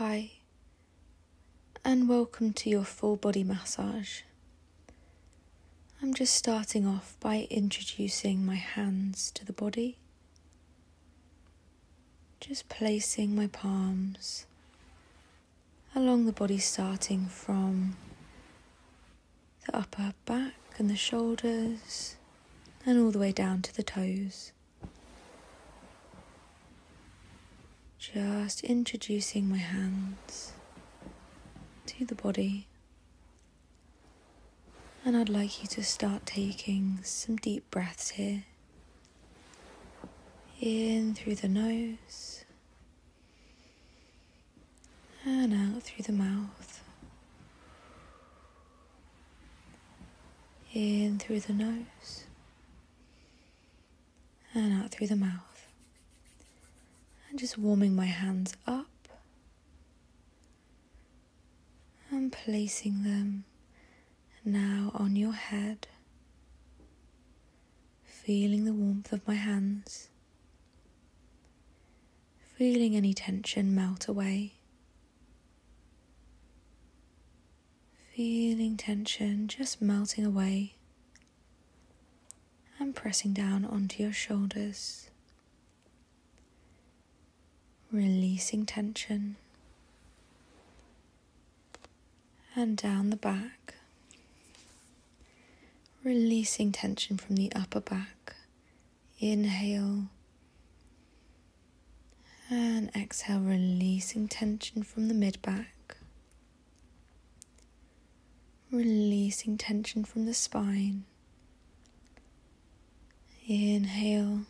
Hi, and welcome to your full body massage. I'm just starting off by introducing my hands to the body, just placing my palms along the body, starting from the upper back and the shoulders, and all the way down to the toes. Just introducing my hands to the body. And I'd like you to start taking some deep breaths here. In through the nose and out through the mouth in through the nose and out through the mouth. And just warming my hands up and placing them now on your head, feeling the warmth of my hands, feeling any tension melt away. Feeling tension just melting away and pressing down onto your shoulders, releasing tension and down the back, releasing tension from the upper back. Inhale and exhale, releasing tension from the mid back, releasing tension from the spine. Inhale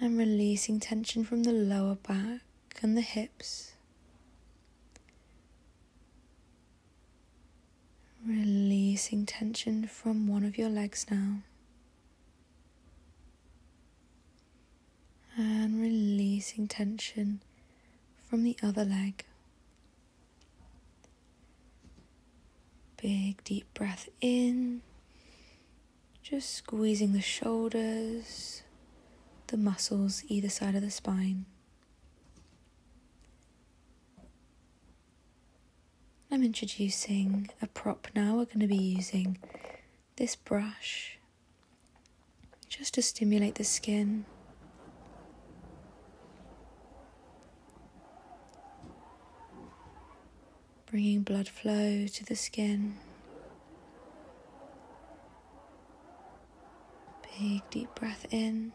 and releasing tension from the lower back and the hips. Releasing tension from one of your legs now and releasing tension from the other leg. Big deep breath in, just squeezing the shoulders, the muscles either side of the spine. I'm introducing a prop now. We're going to be using this brush just to stimulate the skin. Bringing blood flow to the skin. Big deep breath in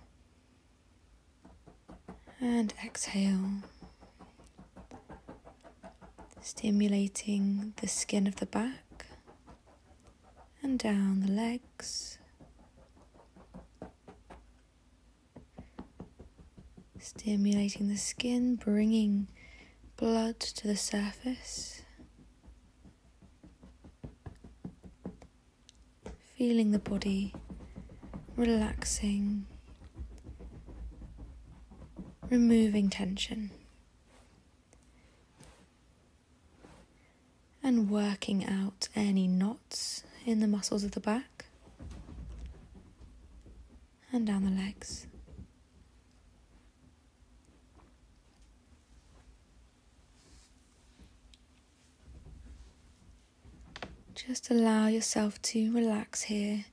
and exhale, stimulating the skin of the back and down the legs. Stimulating the skin, bringing blood to the surface feeling the body, relaxing, removing tension, and working out any knots in the muscles of the back and down the legs. Just allow yourself to relax here,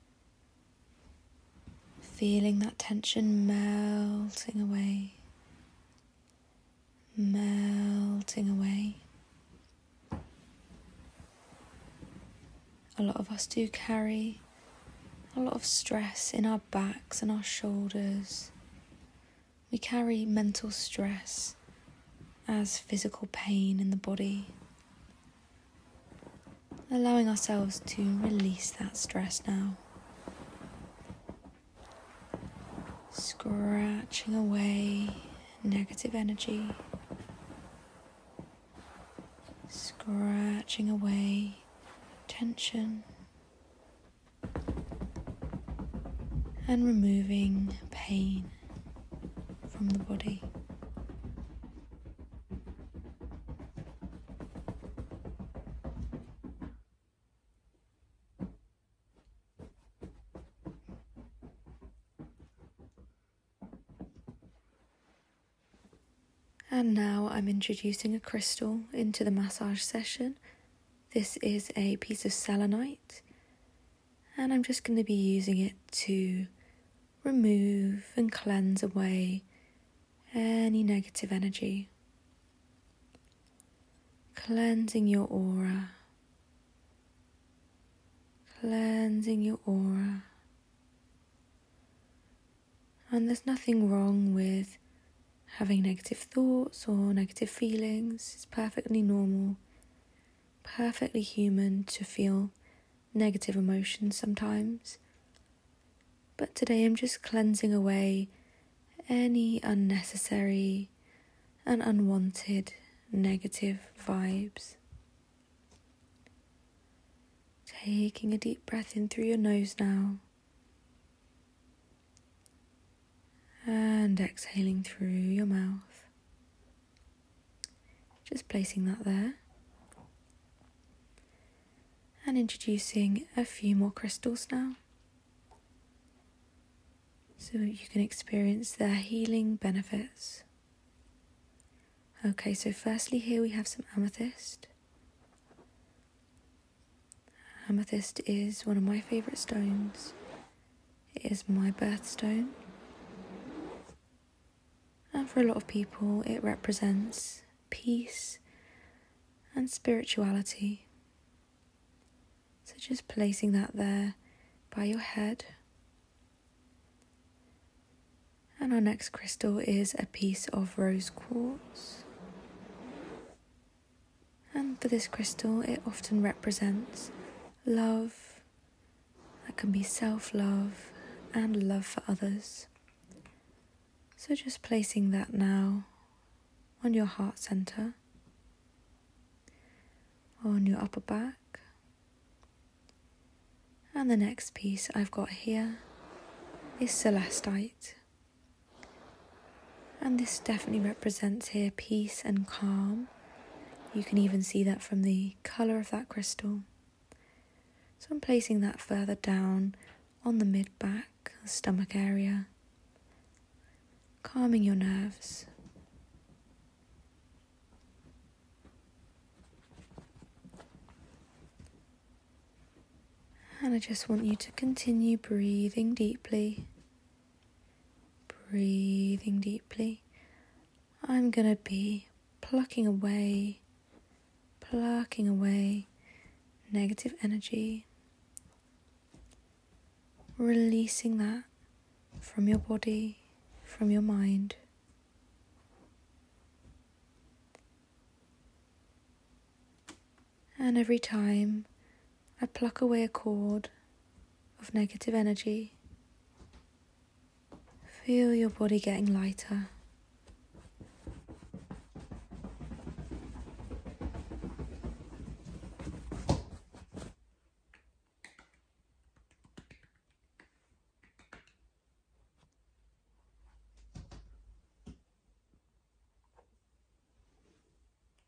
feeling that tension melting away, melting away. A lot of us do carry a lot of stress in our backs and our shoulders. We carry mental stress as physical pain in the body, allowing ourselves to release that stress now. Scratching away negative energy, scratching away tension, and removing pain from the body. And now I'm introducing a crystal into the massage session. This is a piece of selenite and I'm just going to be using it to remove and cleanse away any negative energy. Cleansing your aura. Cleansing your aura. And there's nothing wrong with having negative thoughts or negative feelings, it's perfectly normal perfectly human to feel negative emotions sometimes. But today I'm just cleansing away any unnecessary and unwanted negative vibes. Taking a deep breath in through your nose now and exhaling through your mouth. Just placing that there. And introducing a few more crystals now so you can experience their healing benefits. Okay, so firstly, here we have some amethyst. Amethyst is one of my favorite stones is my birthstone. And for a lot of people, it represents peace and spirituality. So just placing that there by your head. And our next crystal is a piece of rose quartz. And for this crystal, it often represents love, that can be self love and love for others. So just placing that now on your heart center, on your upper back. And the next piece I've got here is celestite. And this definitely represents here peace and calm. You can even see that from the colour of that crystal. So I'm placing that further down on the mid back, stomach area, calming your nerves. And I just want you to continue breathing deeply Breathing deeply, I'm going to be plucking away, plucking away negative energy, releasing that from your body, from your mind. And every time I pluck away a cord of negative energy. Feel your body getting lighter.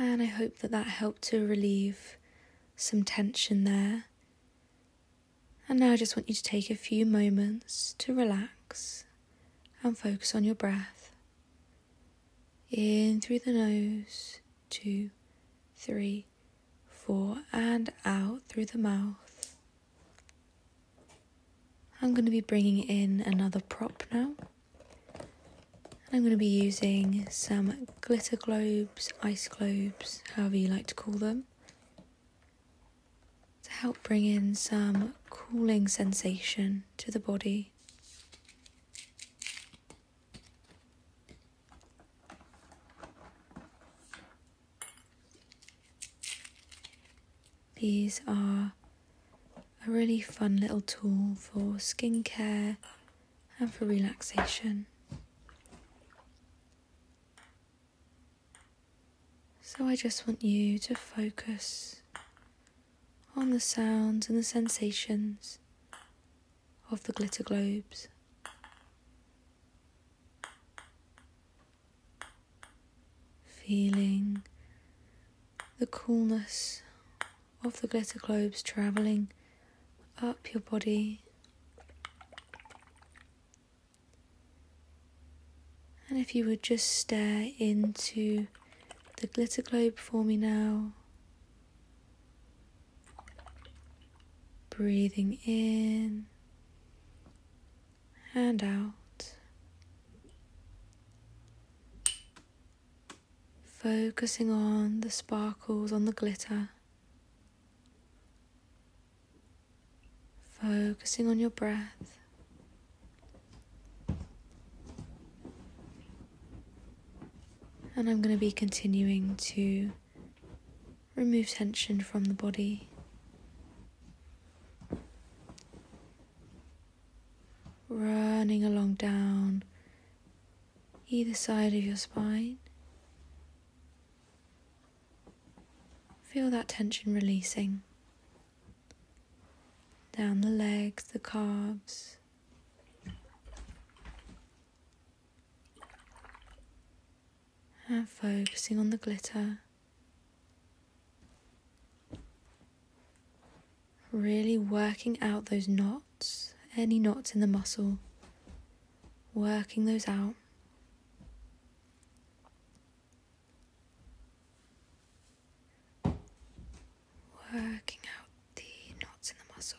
And I hope that that helped to relieve some tension there. And now I just want you to take a few moments to relax and focus on your breath. In through the nose, two, three, four, and out through the mouth. I'm going to be bringing in another prop now. I'm going to be using some glitter globe ice globes, however you like to call them, to help bring in some cooling sensation to the body. These are a really fun little tool for skincare and for relaxation. So I just want you to focus on the sounds and the sensations of the glitter globes. Feeling the coolness of the glitter globes travelling up your body. And if you would just stare into the glitter globe for me now, breathing in and out. Focusing on the sparkles on the glitter Focusing on your breath. And I'm going to be continuing to remove tension from the body. Running along down either side of your spine. Feel that tension releasing down the legs, the calves. And focusing on the glitter. Really working out those knots, any knots in the muscle working those out. Working out the knots in the muscle.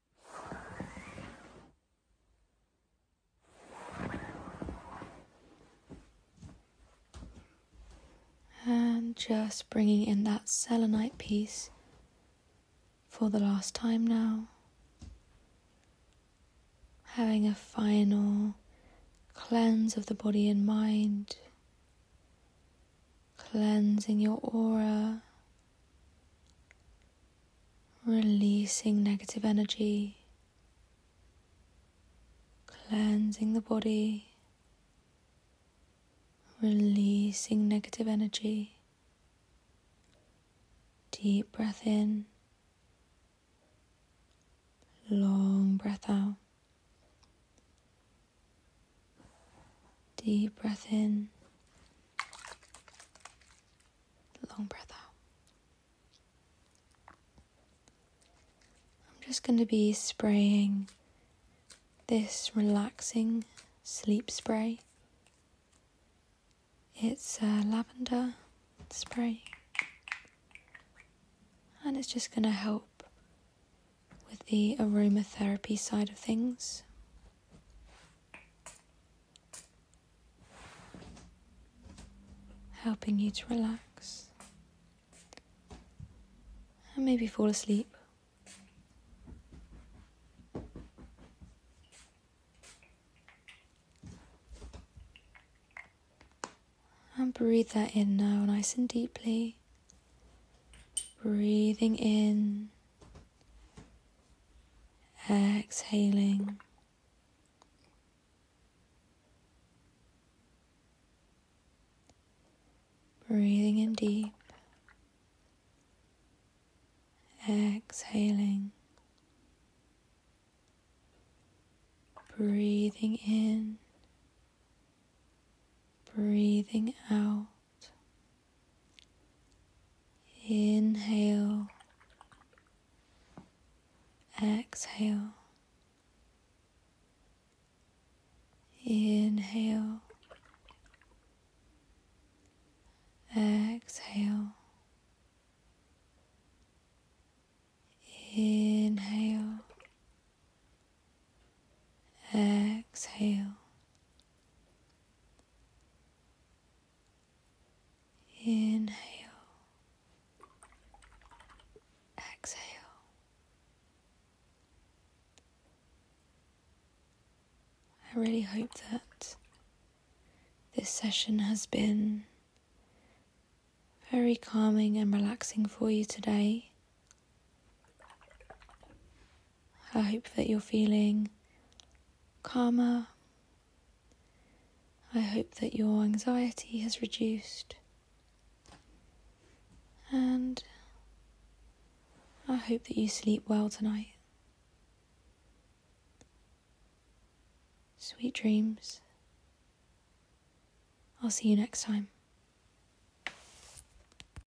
And just bringing in that selenite piece for the last time now. Having a final cleanse of the body and mind, cleansing your aura, releasing negative energy, cleansing the body, releasing negative energy. Deep breath in, long breath out. Deep breath in, Long breath out. I'm just going to be spraying this relaxing sleep spray. It's a lavender spray and it's just going to help with the aromatherapy side of things helping you to relax and maybe fall asleep. And breathe that in now, nice and deeply. Breathing in exhaling. Breathing in deep, exhaling, breathing in, breathing out, Inhale, exhale, inhale, exhale, inhale, exhale. Inhale, exhale. I really hope that this session has been very calming and relaxing for you today. I hope that you're feeling calmer. I hope that your anxiety has reduced. And I hope that you sleep well tonight. Sweet dreams. I'll see you next time.